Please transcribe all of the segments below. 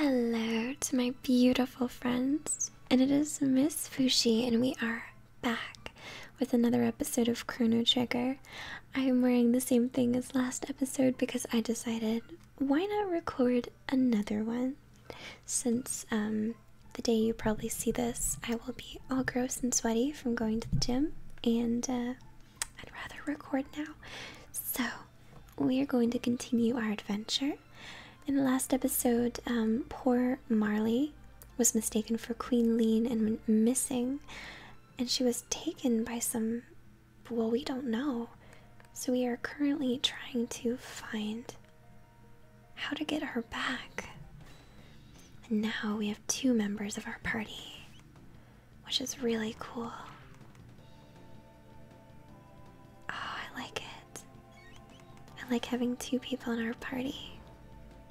Hello to my beautiful friends, and it is Miss Fushi, and we are back with another episode of Chrono Trigger. I am wearing the same thing as last episode because I decided why not record another one since um, the day you probably see this, I will be all gross and sweaty from going to the gym, and uh, I'd rather record now. So, we are going to continue our adventure. In the last episode, um, poor Marley was mistaken for Queen Lean and missing, and she was taken by some. Well, we don't know. So, we are currently trying to find how to get her back. And now we have two members of our party, which is really cool. Oh, I like it. I like having two people in our party.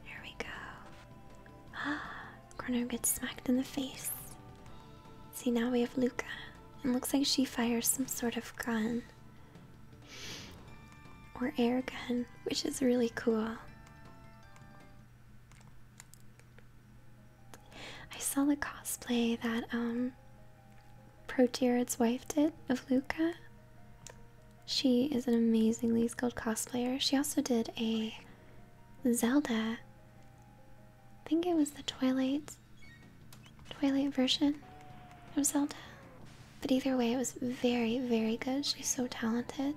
Here we go. Ah, Corner gets smacked in the face. See, now we have Luca, and looks like she fires some sort of gun or air gun, which is really cool. I saw the cosplay that um wife did of Luca. She is an amazingly skilled cosplayer. She also did a Zelda. I think it was the Twilight Twilight version of Zelda. But either way, it was very, very good. She's so talented.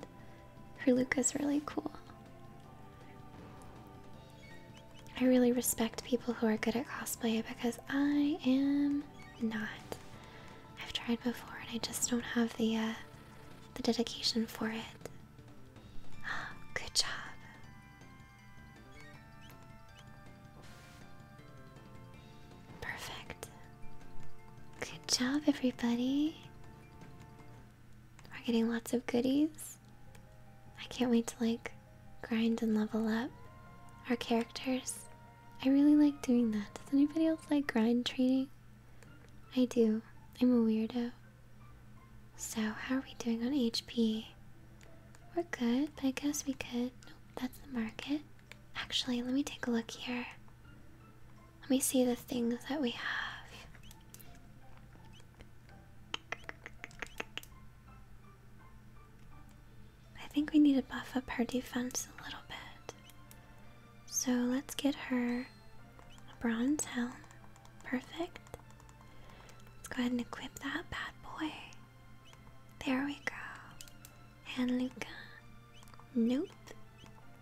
Her look is really cool. I really respect people who are good at cosplay because I am not. I've tried before and I just don't have the uh, the dedication for it. Good job. Perfect. Good job, everybody. We're getting lots of goodies. I can't wait to like grind and level up our characters. I really like doing that. Does anybody else like grind training? I do. I'm a weirdo. So, how are we doing on HP? We're good, but I guess we could. Nope, that's the market. Actually, let me take a look here. Let me see the things that we have. I think we need to buff up her defense a little bit. So let's get her a bronze helm. Perfect. Let's go ahead and equip that bad boy. There we go. and Luca. Nope.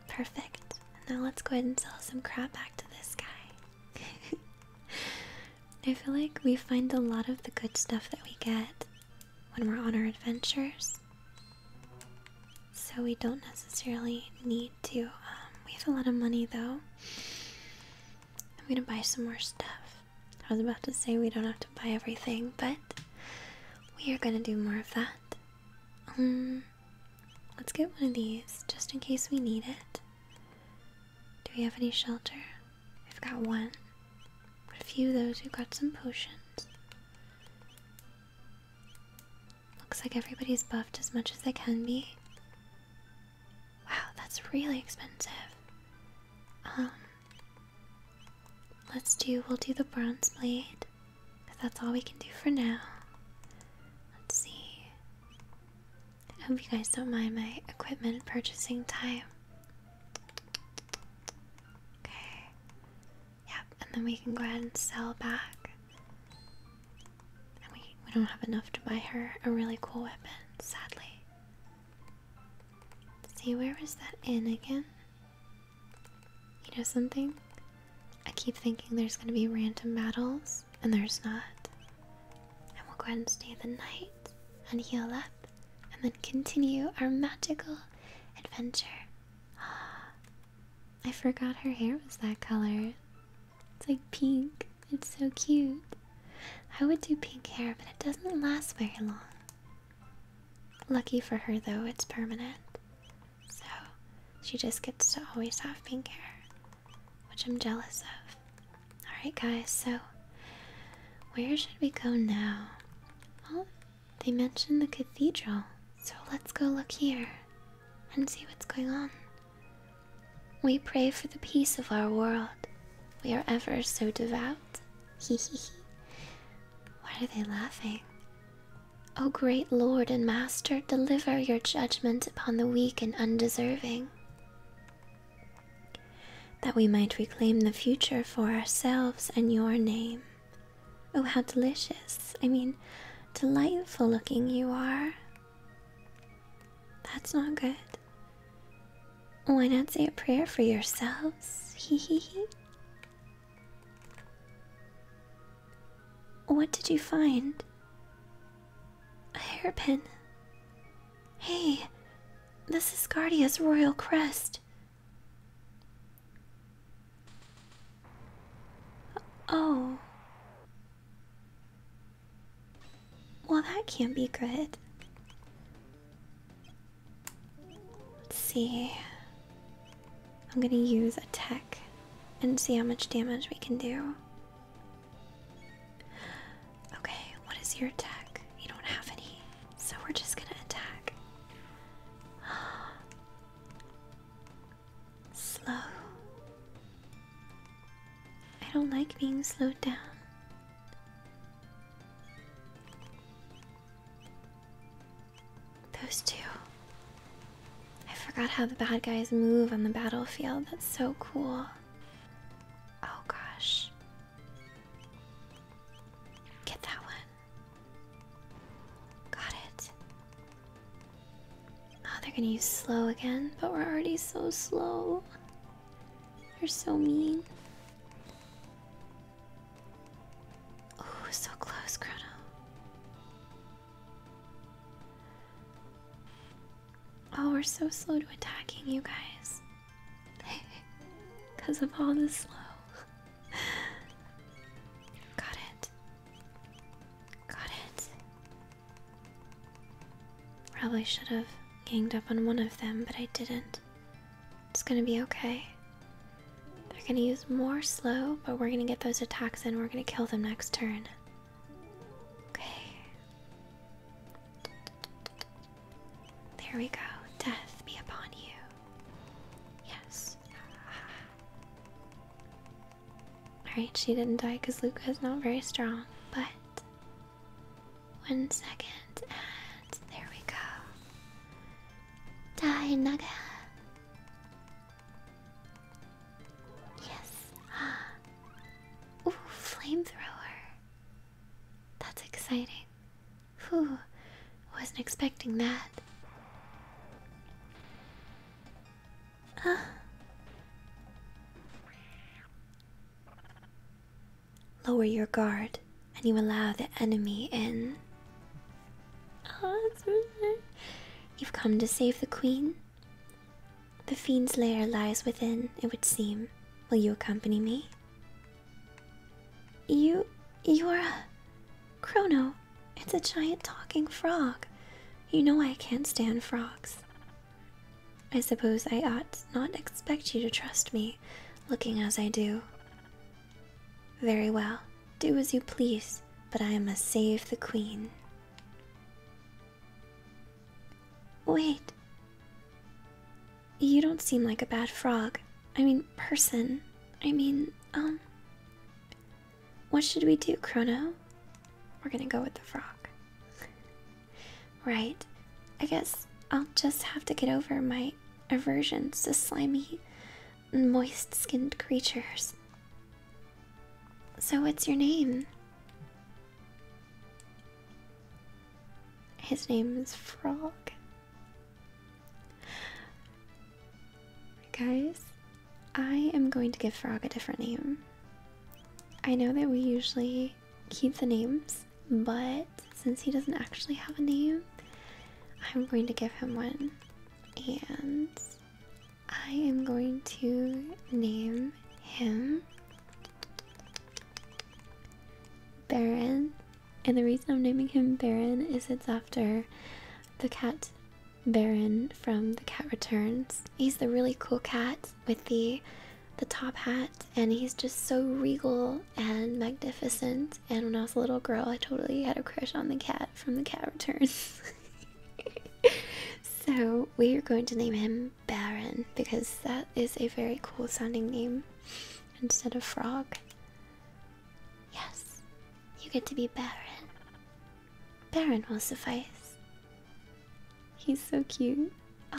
Perfect. Now let's go ahead and sell some crap back to this guy. I feel like we find a lot of the good stuff that we get when we're on our adventures. So we don't necessarily need to. Um, we have a lot of money though. I'm gonna buy some more stuff. I was about to say we don't have to buy everything, but we are gonna do more of that. Um, let's get one of these just in case we need it. Do we have any shelter? We've got one. But a few of those, we've got some potions. Looks like everybody's buffed as much as they can be. Wow, that's really expensive. Um, Let's do, we'll do the bronze blade, because that's all we can do for now. Let's see. I hope you guys don't mind my equipment purchasing time. Okay. Yep, and then we can go ahead and sell back. And we, we don't have enough to buy her a really cool weapon, sadly. See, where was that inn again? You know something? I keep thinking there's gonna be random battles, and there's not. And we'll go ahead and stay the night, and heal up, and then continue our magical adventure. I forgot her hair was that color. It's like pink. It's so cute. I would do pink hair, but it doesn't last very long. Lucky for her, though, it's permanent. So she just gets to always have pink hair, which I'm jealous of. Alright, guys, so where should we go now? Well, they mentioned the cathedral, so let's go look here and see what's going on. We pray for the peace of our world. We are ever so devout out. Why are they laughing? O oh, great Lord and Master, deliver your judgment upon the weak and undeserving, that we might reclaim the future for ourselves and your name. Oh, how delicious! I mean, delightful looking you are. That's not good. Why not say a prayer for yourselves? Hee hee hee. What did you find? A hairpin. Hey, this is Guardia's royal crest. Oh. Well, that can't be good. Let's see. I'm gonna use a tech and see how much damage we can do. Okay, what is your tech? You don't have any, so we're just gonna attack. Slow. I don't like being slowed down. Those two. I forgot how the bad guys move on the battlefield. That's so cool. Oh gosh. Get that one. Got it. Oh, they're gonna use slow again, but we're already so slow. You're so mean. Oh, so close, Chrono. Oh, we're so slow to attacking you guys. Because of all the slow. Got it. Got it. Probably should have ganged up on one of them, but I didn't. It's gonna be okay. They're gonna use more slow, but we're gonna get those attacks in. We're gonna kill them next turn. Okay. There we go. Death be upon you. Yes. Alright, she didn't die because Luca is not very strong, but one second, and there we go. Die, Naga. Yes. Ooh, flamethrower. That's exciting. Whew, wasn't expecting that. Ah lower your guard and you allow the enemy in. Oh, that's really You've come to save the queen? The fiend's lair lies within, it would seem. Will you accompany me? You. you're a. Chrono, it's a giant talking frog. You know I can't stand frogs. I suppose I ought not expect you to trust me, looking as I do. Very well, do as you please, but I must save the queen. Wait. You don't seem like a bad frog. I mean, person. I mean, um. What should we do, Chrono? We're gonna go with the frog. Right. I guess I'll just have to get over my aversions to slimy, moist skinned creatures. So, what's your name? His name is Frog. Guys, I am going to give Frog a different name. I know that we usually keep the names, but since he doesn't actually have a name, I'm going to give him one. And I am going to name him Baron. And the reason I'm naming him Baron is it's after the cat Baron from The Cat Returns. He's the really cool cat with the the top hat, and he's just so regal and magnificent. And when I was a little girl, I totally had a crush on the cat from The Cat Returns. so we are going to name him Baron because that is a very cool sounding name instead of Frog. Yes, you get to be Baron. Baron will suffice. He's so cute.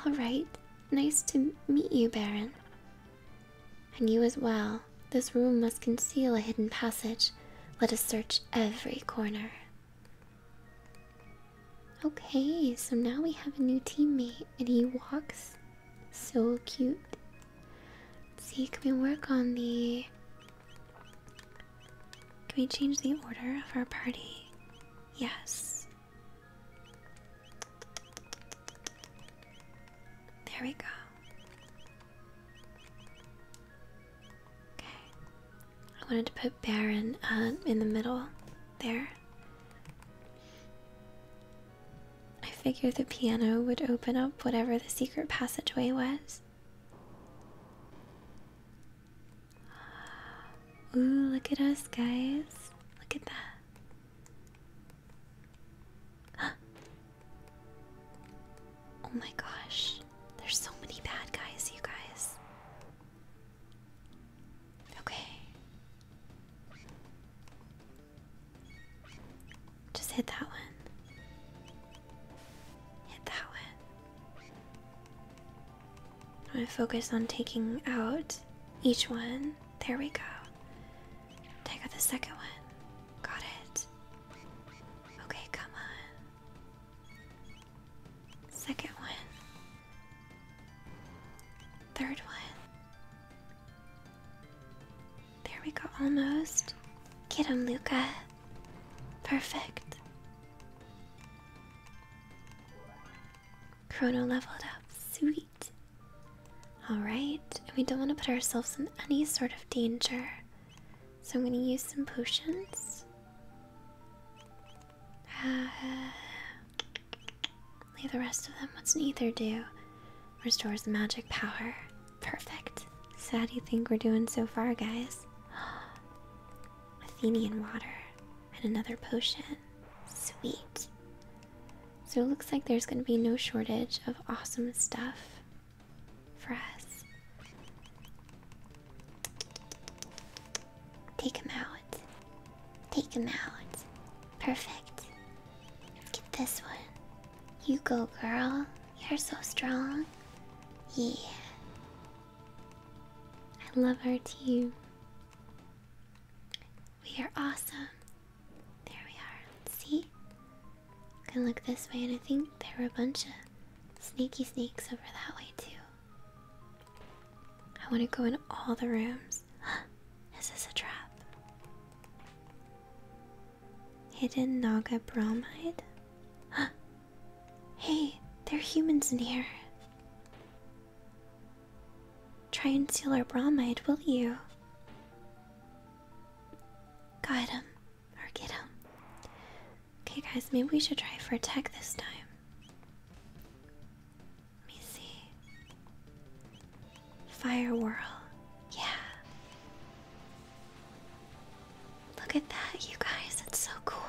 Alright, nice to meet you, Baron. And you as well. This room must conceal a hidden passage. Let us search every corner. Okay, so now we have a new teammate, and he walks so cute. see, can we work on the. Can we change the order of our party? Yes. There we go. Okay. I wanted to put Baron uh, in the middle there. I figured the piano would open up whatever the secret passageway was. Ooh, look at us, guys. Look at that. Oh my gosh. There's so many bad guys, you guys. Okay. Just hit that one. Hit that one. I'm gonna focus on taking out each one. There we go. Take out the second one. Got it. Okay, come on. Second one. Third one. There we go, almost. Get him, Luca. Perfect. Chrono leveled up. Sweet. Alright, we don't want to put ourselves in any sort of danger. So I'm going to use some potions. Uh, leave the rest of them. What's an ether do? Restores the magic power. Perfect. So how do you think we're doing so far, guys? Athenian water and another potion. Sweet. So it looks like there's going to be no shortage of awesome stuff for us. Take him out. Take him out. Perfect. Get this one. You go, girl. You're so strong. Yeah. I love our team. We are awesome. There we are. See? I can look this way, and I think there are a bunch of sneaky snakes over that way, too. I want to go in all the rooms. Is this a trap? Hidden Naga Bromide? hey, there are humans in here. Try and seal our bromide, will you? Guide him. Or get him. Okay, guys, maybe we should try for a tech this time. Let me see. Fire whirl. Yeah. Look at that, you guys. That's so cool.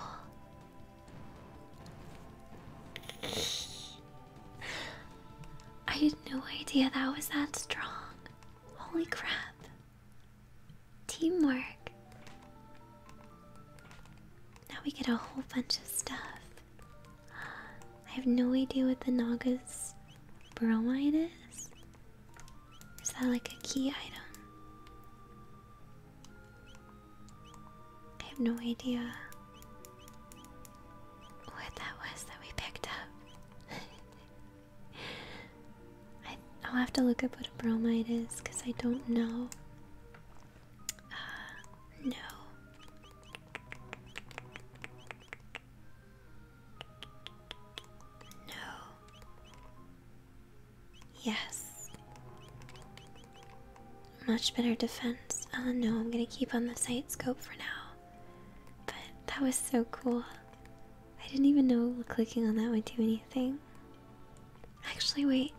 I had no idea that was that strong. Holy crap. Teamwork. Now we get a whole bunch of stuff. I have no idea what the Naga's bromide is. Is that like a key item? I have no idea what that was that we picked up. I, will have to look up what a bromide is because I don't know. Uh, no. No. Yes. Much better defense. Oh no, I'm gonna keep on the sight scope for now. But that was so cool. I didn't even know clicking on that would do anything. Actually, wait.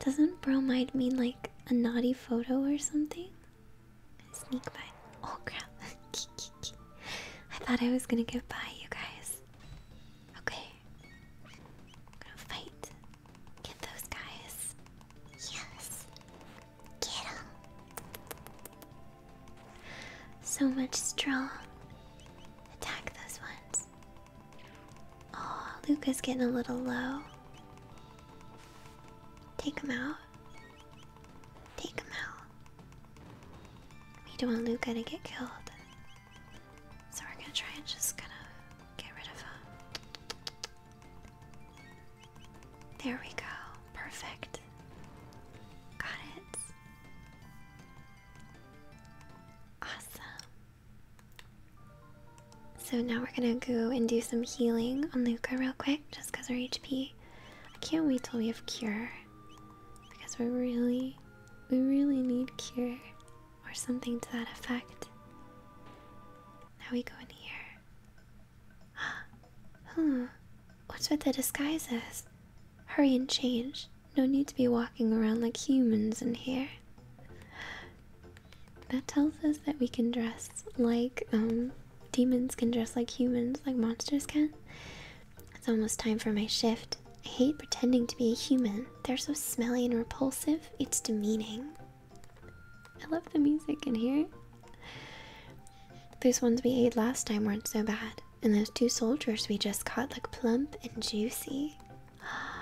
Doesn't bromide mean like a naughty photo or something? Sneak by. Oh crap. I thought I was gonna get by, you guys. Okay. Gonna fight. Get those guys. Yes. Get them. So much straw. Attack those ones. Oh, Luca's getting a little low. Take him out. Take him out. We don't want Luca to get killed. So we're gonna try and just kind of get rid of them. There we go. Perfect. Got it. Awesome. So now we're gonna go and do some healing on Luca real quick, just because our HP. I can't wait till we have cure because we really we really need cure or something to that effect. Now we go in here. huh. What's with the disguises? Hurry and change. No need to be walking around like humans in here. That tells us that we can dress like um demons can dress like humans, like monsters can. It's almost time for my shift. I hate pretending to be a human. They're so smelly and repulsive, it's demeaning. I love the music in here. Those ones we ate last time weren't so bad, and those two soldiers we just caught look plump and juicy.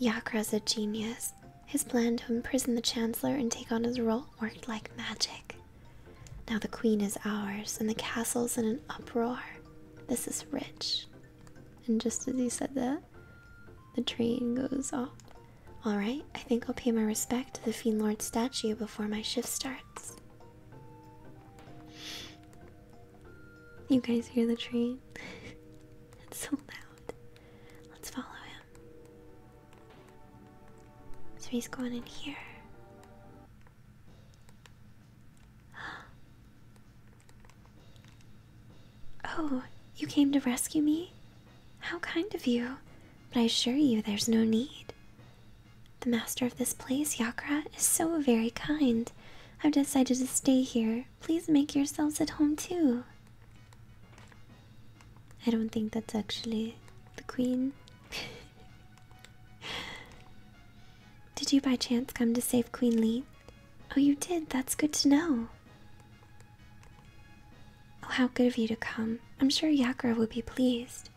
Yakra's a genius. His plan to imprison the Chancellor and take on his role worked like magic. Now the queen is ours, and the castle's in an uproar. This is rich. And just as he said that, the train goes off. Alright, I think I'll pay my respect to the Fiend Lord statue before my shift starts. You guys hear the train? it's so loud. Let's follow him. So he's going in here. Oh, you came to rescue me? How kind of you, but I assure you there's no need. The master of this place, Yakra, is so very kind. I've decided to stay here. Please make yourselves at home too. I don't think that's actually the queen. did you by chance come to save Queen Lee? Oh, you did. That's good to know. Oh, how good of you to come. I'm sure Yakra would be pleased.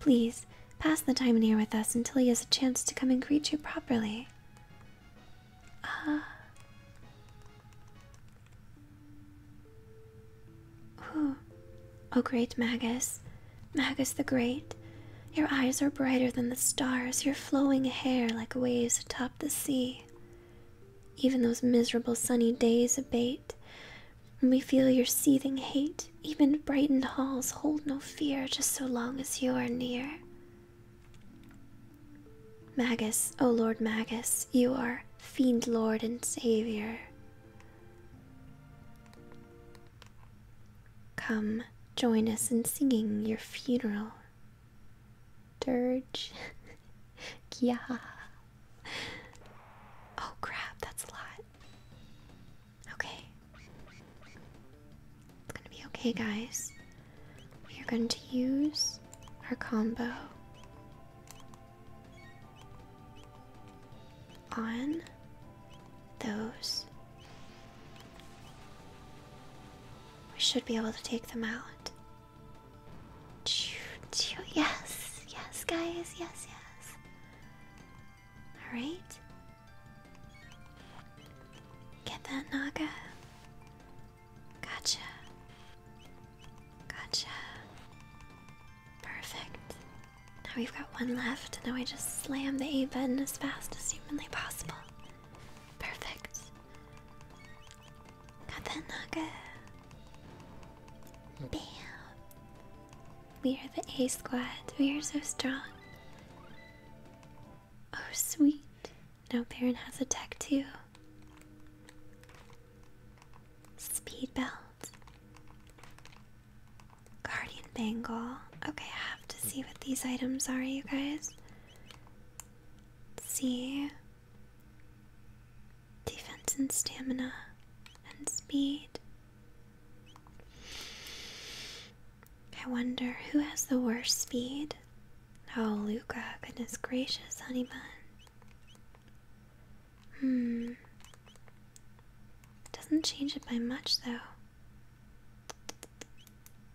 Please, pass the time in here with us until he has a chance to come and greet you properly. Ah. Uh, O great Magus, Magus the Great, your eyes are brighter than the stars, your flowing hair like waves atop the sea. Even those miserable sunny days abate, and we feel your seething hate. Even brightened halls hold no fear just so long as you are near. Magus, O Lord Magus, you are fiend lord and savior. Come, join us in singing your funeral. Dirge. yeah. Oh crap, that's a lot. Okay. It's gonna be okay, guys. We are going to use our combo on those. We should be able to take them out. Yes, yes, guys, yes, yes. Alright. Get that Naga. Gotcha. Gotcha. Perfect. Now we've got one left. Now I just slam the A button as fast as humanly possible. Perfect. Got that naga. Bam. We are the A squad. We are so strong. Oh, sweet. Now Baron has a tech too. Speed bell. Guardian Bangle. Okay, I have to see what these items are, you guys. see. Defense and stamina and speed. I wonder who has the worst speed? Oh, Luca, goodness gracious, honey bun. Hmm. Doesn't change it by much, though.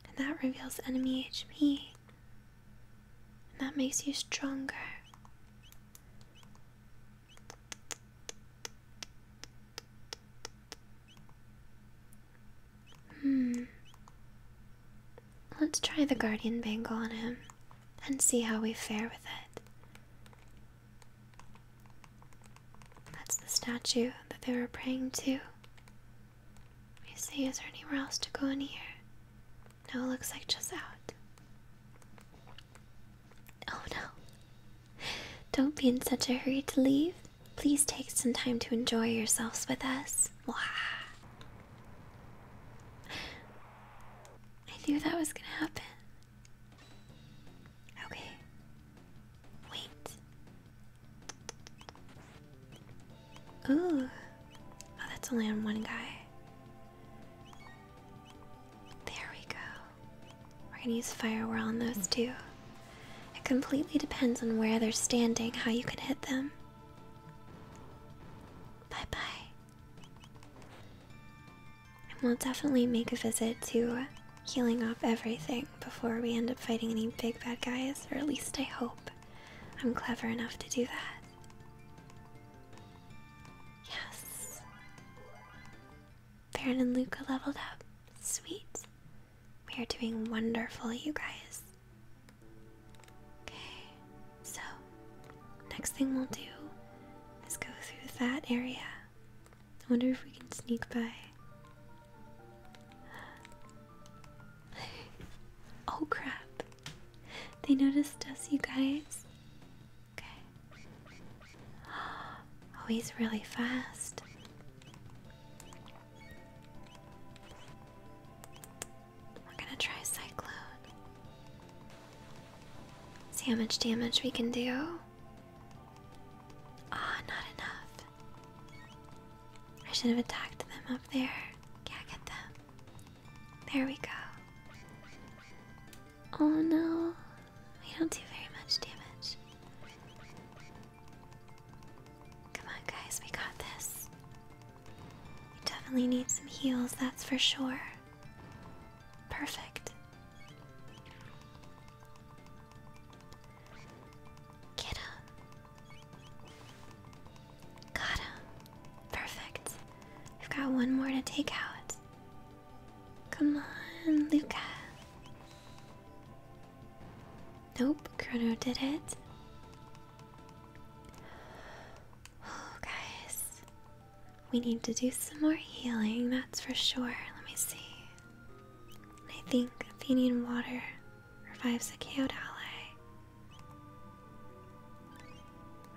And that reveals enemy HP. And that makes you stronger. Hmm. Let's try the Guardian Bangle on him and see how we fare with it. That's the statue that they were praying to. You see, is there anywhere else to go in here? No, it looks like just out. Oh no. Don't be in such a hurry to leave. Please take some time to enjoy yourselves with us. Wah. I knew that was gonna happen. Okay. Wait. Ooh. Oh, that's only on one guy. There we go. We're gonna use firewall on those two. It completely depends on where they're standing, how you can hit them. Bye bye. And we'll definitely make a visit to healing up everything before we end up fighting any big bad guys, or at least I hope I'm clever enough to do that. Yes. Baron and Luca leveled up. Sweet. We are doing wonderful, you guys. Okay, so next thing we'll do Let's go through that area. I wonder if we can sneak by. oh crap. They noticed us, you guys. Okay. Oh, he's really fast. We're gonna try Cyclone. See how much damage we can do. Ah, not enough. I should have attacked them up there. Yeah, get them. There we go. Oh no, we don't do very much damage. Come on, guys, we got this. We definitely need some heals, that's for sure. Perfect. Get him. Got him. Perfect. I've got one more to take out. Come on, Luca. Nope, Chrono did it. Oh, guys. We need to do some more healing, that's for sure. Let me see. I think Athenian water revives a KO'd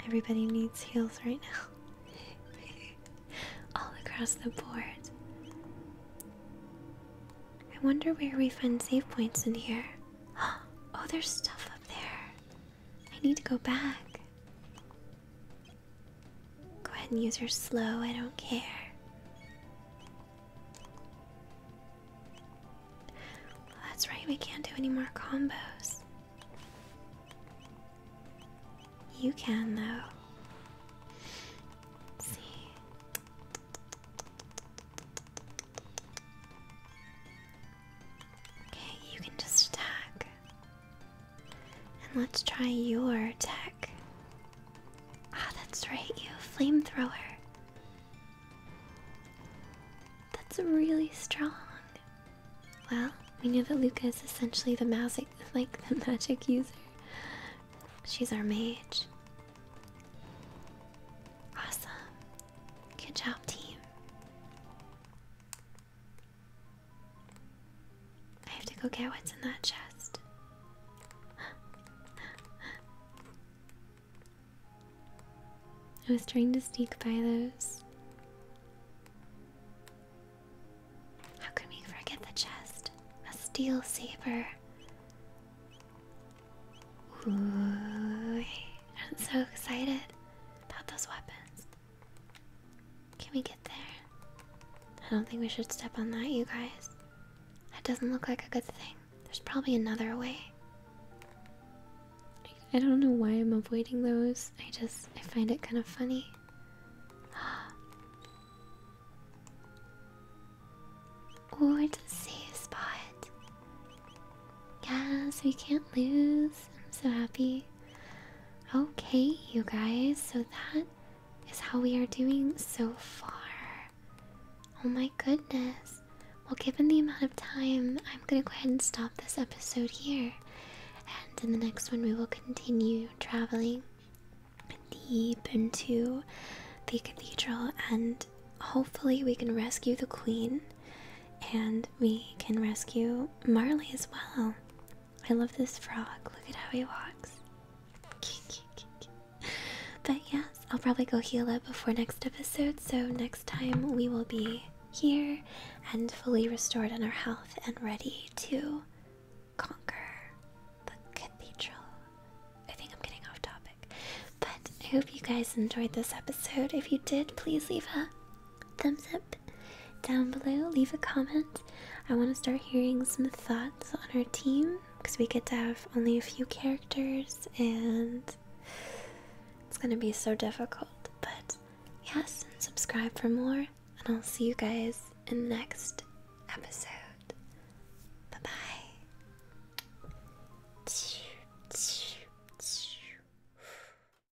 Everybody needs heals right now. All across the board. I wonder where we find save points in here. Oh, there's stuff up there. I need to go back. Go ahead and use her slow, I don't care. that's right, we can't do any more combos. You can, though. see. Okay, you can just attack. And let's try your tech. Ah, that's right, you flamethrower. That's really strong. Well, we know that Luca is essentially the magic, like the magic user. She's our mage. Awesome. Good job, team. I have to go get what's in that chest. I was trying to sneak by those. How can we forget the chest? A steel saber. I'm so excited about those weapons. Can we get there? I don't think we should step on that, you guys. That doesn't look like a good thing. There's probably another way. I don't know why I'm avoiding those. I just, I find it kind of funny. Oh, it's a safe spot. Yeah, so we can't lose. I'm so happy. Okay, you guys, so that is how we are doing so far. Oh my goodness. Well, given the amount of time, I'm gonna go ahead and stop this episode here. And in the next one, we will continue traveling deep into the cathedral and hopefully we can rescue the queen and we can rescue Marley as well. I love this frog. Look at how he walks. but yes, I'll probably go heal up before next episode. So next time we will be here and fully restored in our health and ready to conquer the cathedral. I think I'm getting off topic. But I hope you guys enjoyed this episode. If you did, please leave a thumbs up down below. Leave a comment. I want to start hearing some thoughts on our team because we get to have only a few characters and it's going to be so difficult. But yes, and subscribe for more, and I'll see you guys in the next episode. Bye bye.